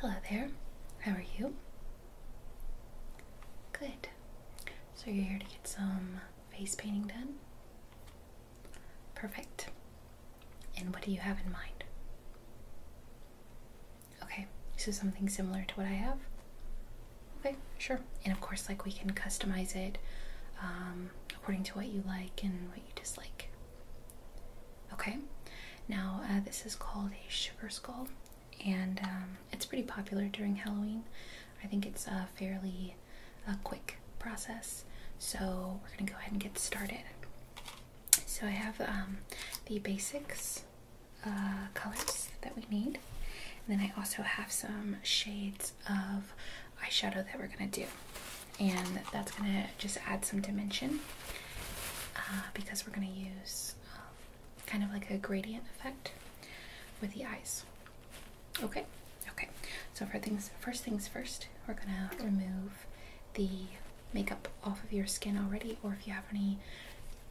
Hello there, how are you? Good. So you're here to get some face painting done? Perfect. And what do you have in mind? Okay, so something similar to what I have? Okay, sure. And of course, like we can customize it um, according to what you like and what you dislike. Okay, now, uh, this is called a sugar skull, and um, it's pretty popular during Halloween. I think it's a fairly uh, quick process, so we're gonna go ahead and get started. So I have um, the basics uh, colors that we need, and then I also have some shades of eyeshadow that we're gonna do and that's gonna just add some dimension uh, because we're gonna use um, kind of like a gradient effect with the eyes. Okay, okay. So for things first things first, we're gonna remove the makeup off of your skin already, or if you have any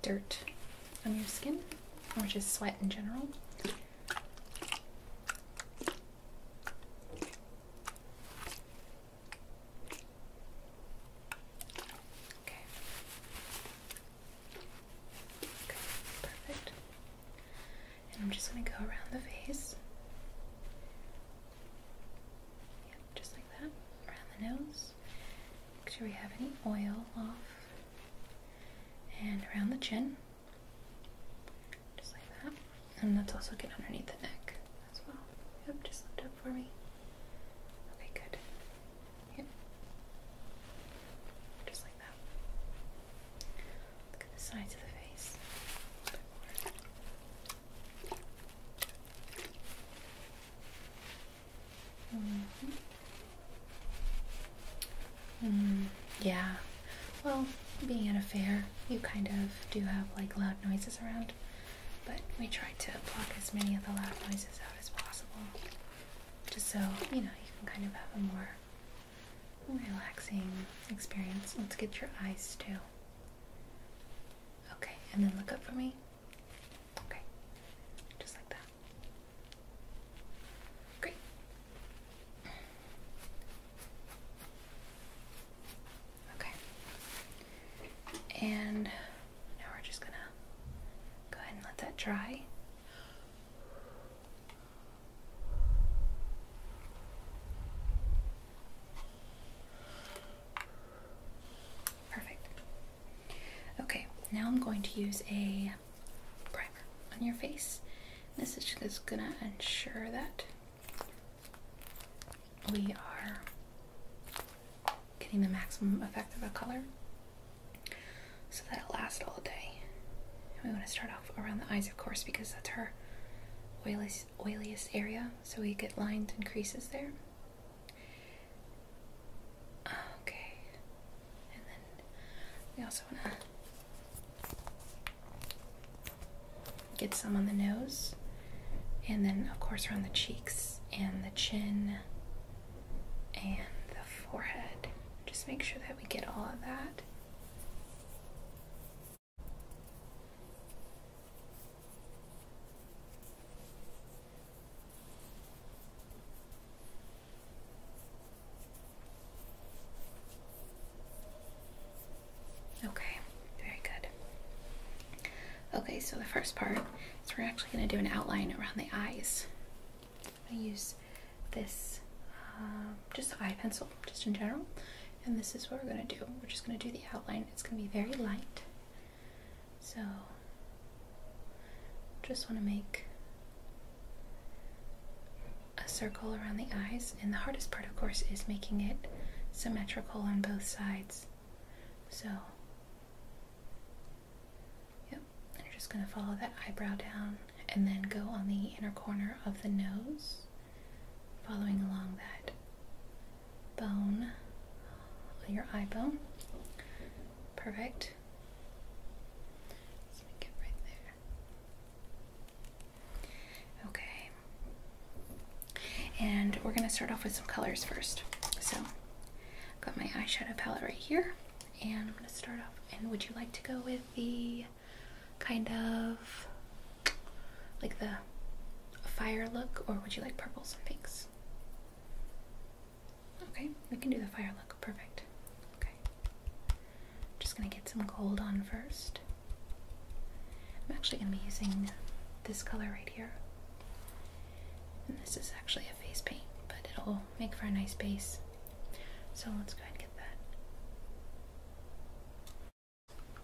dirt on your skin, or just sweat in general. Okay. perfect. And I'm just going to go around the face. just like that. Around the nose. Make sure we have any oil off. And around the chin. Just like that. And that's also get underneath the neck as well. Yep, just lift up for me. Okay, good. Yep. Just like that. Look at the sides of the face. -hmm. yeah. Well, being at a fair, you kind of do have like loud noises around, but we try to block as many of the loud noises out as possible, just so you know you can kind of have a more relaxing experience. Let's get your eyes too. Okay, and then look up for me. Okay, just like that. Great. Okay. And now we're just gonna go ahead and let that dry. Perfect. Okay, now I'm going to use a primer on your face. This is just gonna ensure that we are getting the maximum effect of a color so that it lasts all day. we want to start off around the eyes, of course, because that's our oiliest, oiliest area, so we get lines and creases there. Okay, and then we also want to Get some on the nose, and then, of course, around the cheeks and the chin and the forehead. Just make sure that we get all of that. Okay, very good. Okay, so the first part is we're actually going to do an outline around the eyes. I'm going to use this um, just eye pencil, just in general, and this is what we're going to do. We're just going to do the outline. It's going to be very light, so just want to make a circle around the eyes, and the hardest part, of course, is making it symmetrical on both sides. So, yep, you're just going to follow that eyebrow down and then go on the inner corner of the nose, following along that bone, your eye bone. Perfect. Let's make right there. Okay. And we're going to start off with some colors first. So, got my eyeshadow palette right here, and I'm going to start off. And would you like to go with the kind of like the fire look, or would you like purples and pinks? Okay, we can do the fire look. Perfect. Okay. I'm just going to get some gold on first. I'm actually going to be using this color right here. And this is actually a face paint, but it'll make for a nice base. So let's go ahead and get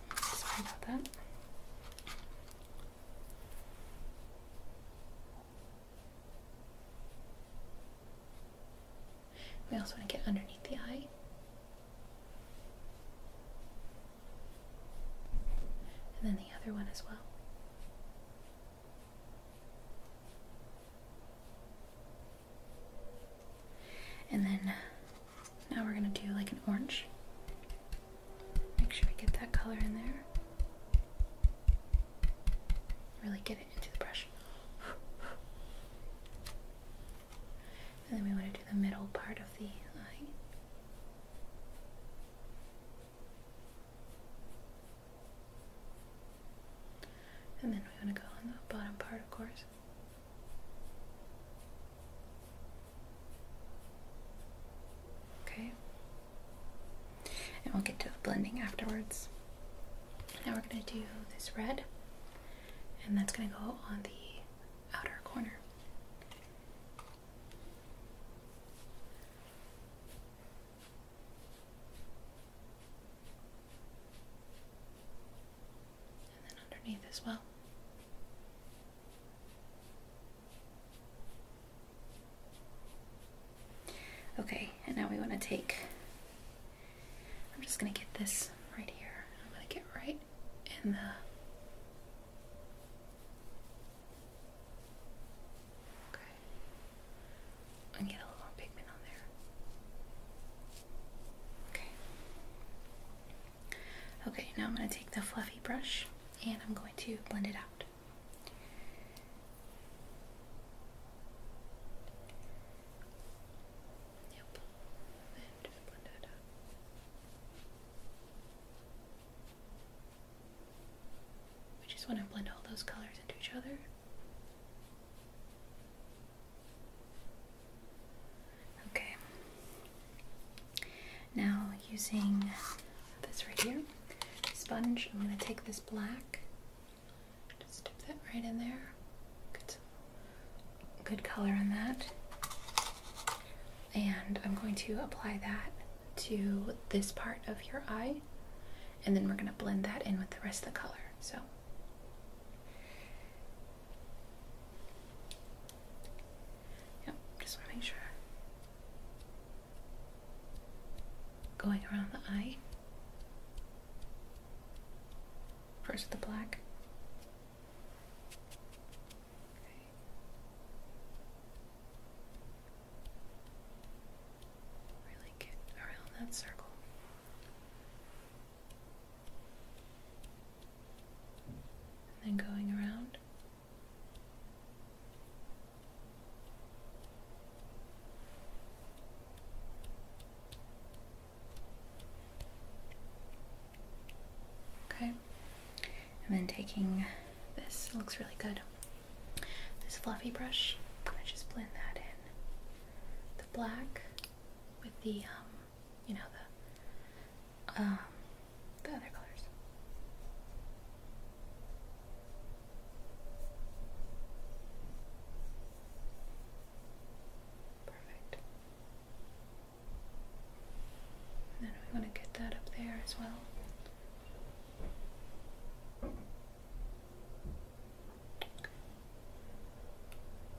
that. Sorry about that. We also want to get underneath the eye. And then the other one as well. And then uh, now we're going to do like an orange. Make sure we get that color in there. Really get it into the brush. And then we want to do the middle part of the line, And then we want to go on the bottom part, of course. Okay. And we'll get to blending afterwards. Now we're going to do this red and that's going to go on the outer corner. And then underneath as well. Okay, and now we want to take I'm just gonna get this right here. I'm gonna get right in the Okay. And get a little more pigment on there. Okay. Okay, now I'm gonna take the fluffy brush and I'm going to blend it out. Yep. And just blend blend all those colors into each other. Okay. Now, using this right here, sponge, I'm going to take this black just dip that right in there. Good, good color in that. And I'm going to apply that to this part of your eye, and then we're going to blend that in with the rest of the color. So. Yep, just want to make sure. Going around the eye. First with the black. Really get around that circle. then going around. Okay, and then taking this, looks really good. This fluffy brush, I'm gonna just blend that in. The black with the, um, you know, the, um, the other colors. Perfect. then we want to get that up there as well.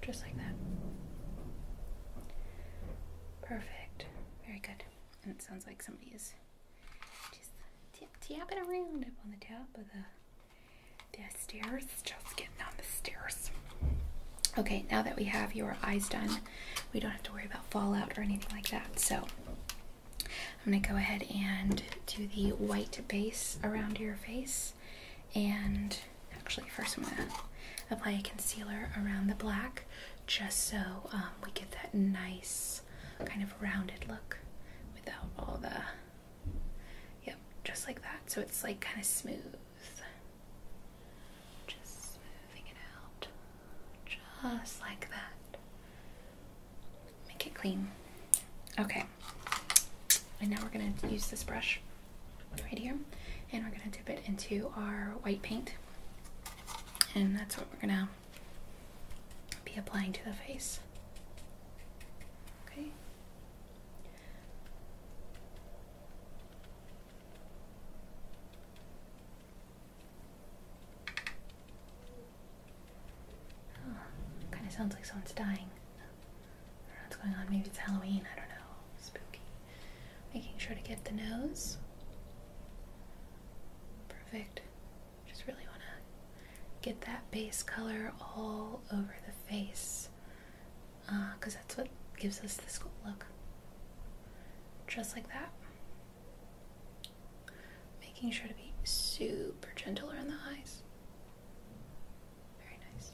Just like that. Perfect. Very good. And it sounds like somebody is just tapping around up on the top of the the stairs, just getting on the stairs. Okay, now that we have your eyes done, we don't have to worry about fallout or anything like that. So I'm going to go ahead and do the white base around your face. And actually, first I'm going to apply a concealer around the black just so um, we get that nice kind of rounded look without all the Yep, just like that. So it's like kind of smooth. Just moving it out. Just like that. Make it clean. Okay. And now we're going to use this brush right here and we're going to dip it into our white paint. And that's what we're going to be applying to the face. Okay. Oh, kind of sounds like someone's dying. what's going on. Maybe it's Halloween. I don't know. Spooky. Making sure to get the nose. Perfect. Just really want to get that base color all over the face because uh, that's what gives us this look. Just like that. Making sure to be super gentle around the eyes. Very nice.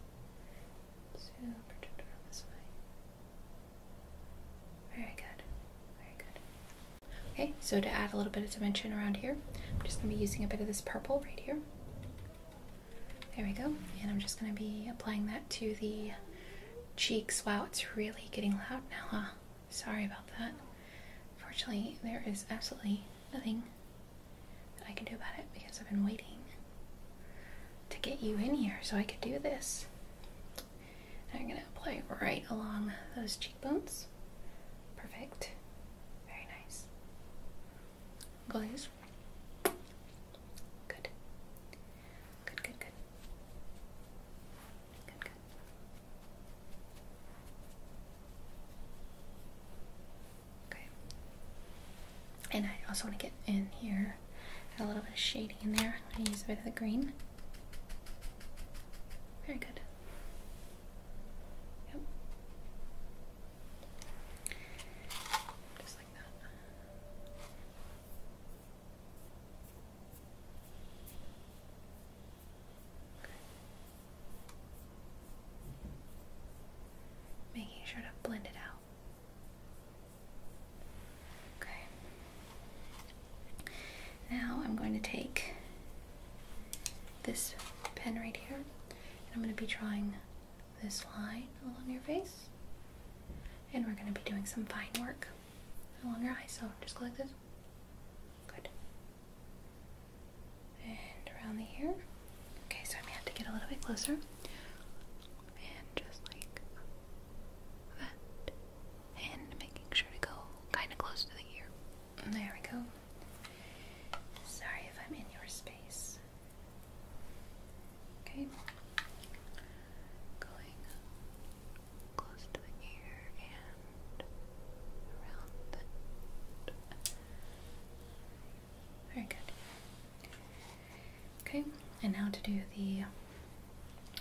Super gentle this way. Very good. Very good. Okay, so to add a little bit of dimension around here, I'm just going to be using a bit of this purple right here. There we go. And I'm just going to be applying that to the cheeks. Wow, it's really getting loud now, huh? Sorry about that. Fortunately, there is absolutely nothing that I can do about it because I've been waiting to get you in here so I could do this. I'm going to apply right along those cheekbones. Perfect. Very nice. Glaze. Good. Good, good, good. Good, Okay. And I also want to get in here, a little bit of shading in there. I'm going to use a bit of the green. Very good. Yep. Just like that. Okay. Making sure to blend it out. Okay. Now I'm going to take this pen right here. And I'm going to be drawing this line along your face. And we're going to be doing some fine work along your eye. So just go like this. Good. And around the ear. Okay, so I'm going to have to get a little bit closer. And just like that. And making sure to go kind of close to the ear. There we go. Sorry if I'm in your space. Okay. Going close to the ear and around the very good. Okay, and now to do the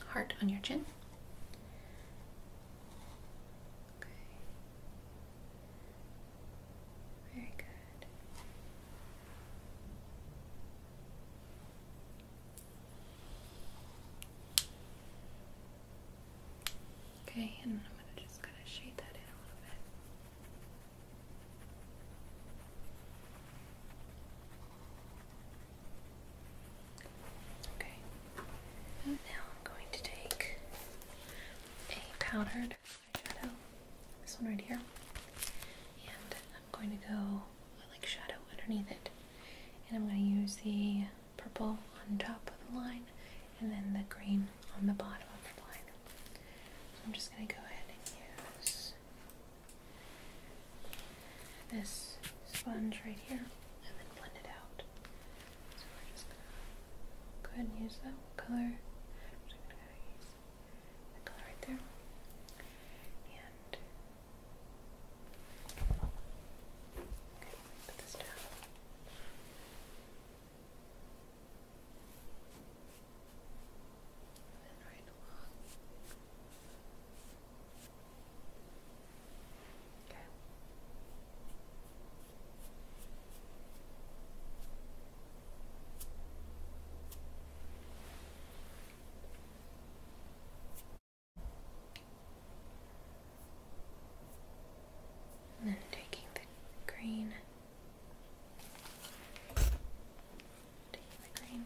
heart on your chin. Okay. Very good. Okay, and I'm gonna just kind of shade that in a little bit. Okay. now I'm going to take a powdered eyeshadow, this one right here, and I'm going to go like shadow underneath it. And I'm going to use the purple on top of the line and then the green on the bottom of the line. So I'm just going to go ahead and use this sponge right here and then blend it out. So we're just gonna go ahead and use that one color. color right there. And put this down. And right along. Okay. And then taking the green, taking the green,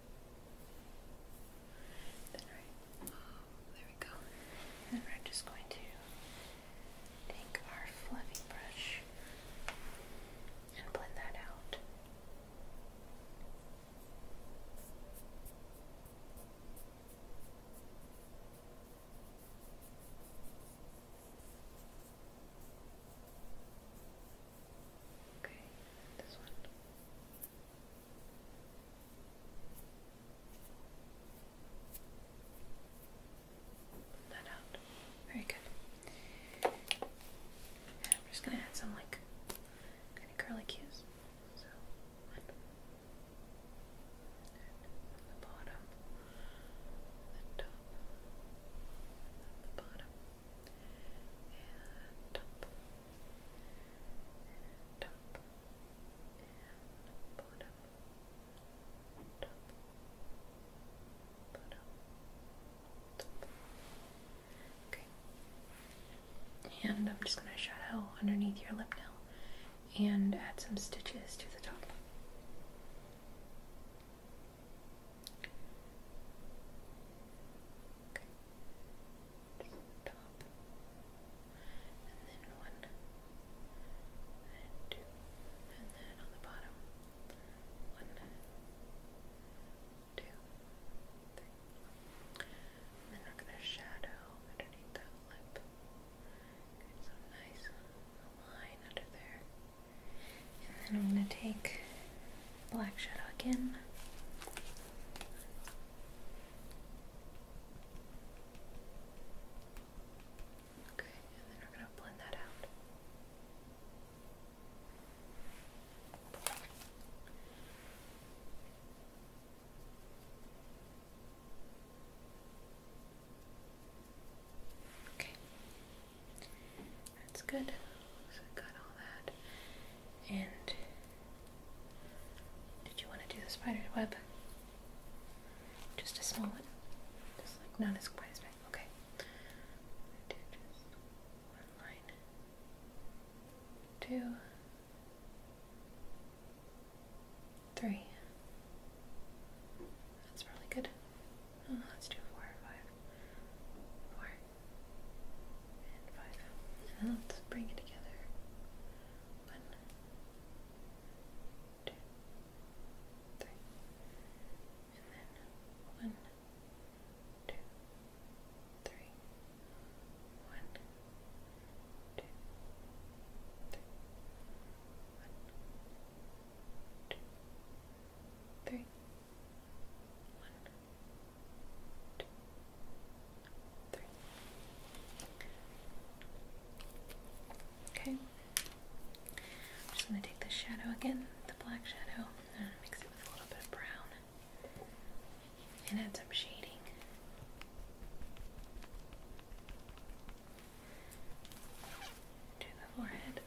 Then right, oh, there we go. And we're just going to take our fluffy brush and blend that out. Okay, this one. Very good. I'm just gonna add some like kind of curly cues. So one the bottom, the top, the bottom, and top and Okay, and I'm just going to shadow underneath your lip now and add some stitches to the top and then one, and two, and then on the bottom, one, two, three. then we're gonna shadow underneath that lip. Get some nice line under there. And then I'm gonna take Black Shadow again. Okay, and then we're going to blend that out. Okay, that's good. got all that. And did you want to do the spider's web? Just a small one? Just like not as quite as big. Okay. Do just one line. Two. Three. That's probably good. Oh, let's do four or five four, and five. And let's bring it together. One, two, three, and then one, two, three, one, two, three, Okay. I'm just going to take the shadow again, the black shadow, and mix it with a little bit of brown and add some shading. To the forehead.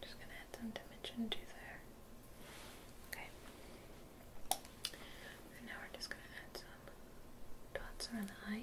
Good, right Just gonna add some dimension to there. Okay. And now we're just gonna add some dots around the eye.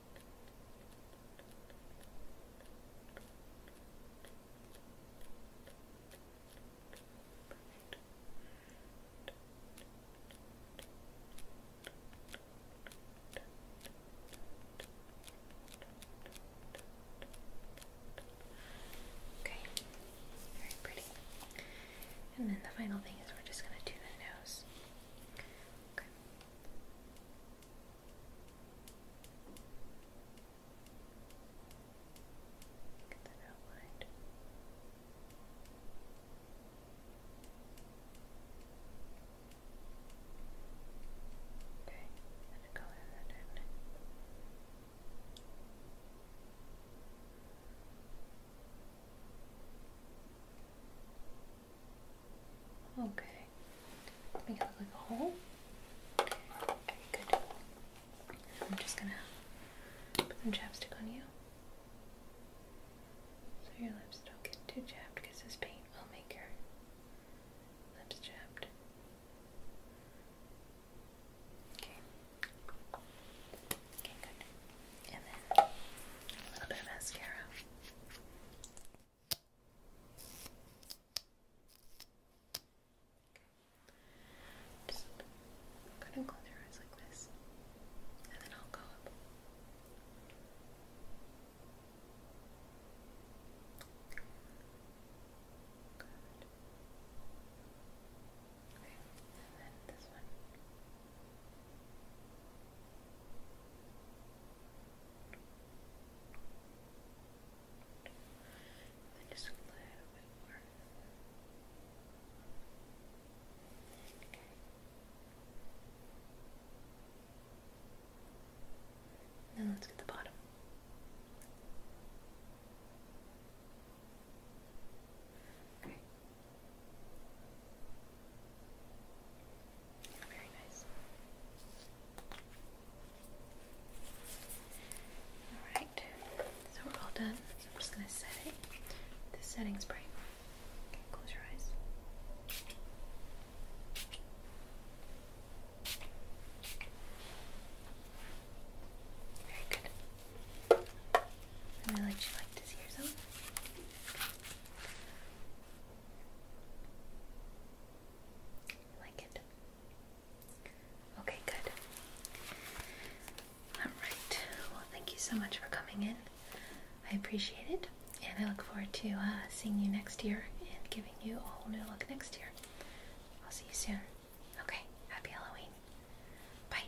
Okay, very pretty. And then the final thing is we're just going to do the nose. Okay. Get that Okay, and a color that Okay. Make it look like a hole. Okay, good. I'm just gonna put some chapstick on you. So your lips don't get too chapped because this paint will make your lips chapped. Okay. Okay, good and then a little bit of mascara. Just go ahead close your eyes like this, and then I'll go up. and then this one. And just a little bit more. Okay. Now let's get the bottom. Okay. Very nice. Alright, so we're all done. I'm just going to set it. This setting spray. close your eyes. Very good. I like you like to see yourself like it? Okay, good. Alright, well, thank you so much for coming in. I appreciate it, and I look forward to uh, seeing you next year and giving you a whole new look next year. I'll see you soon. Okay, happy Halloween. Bye.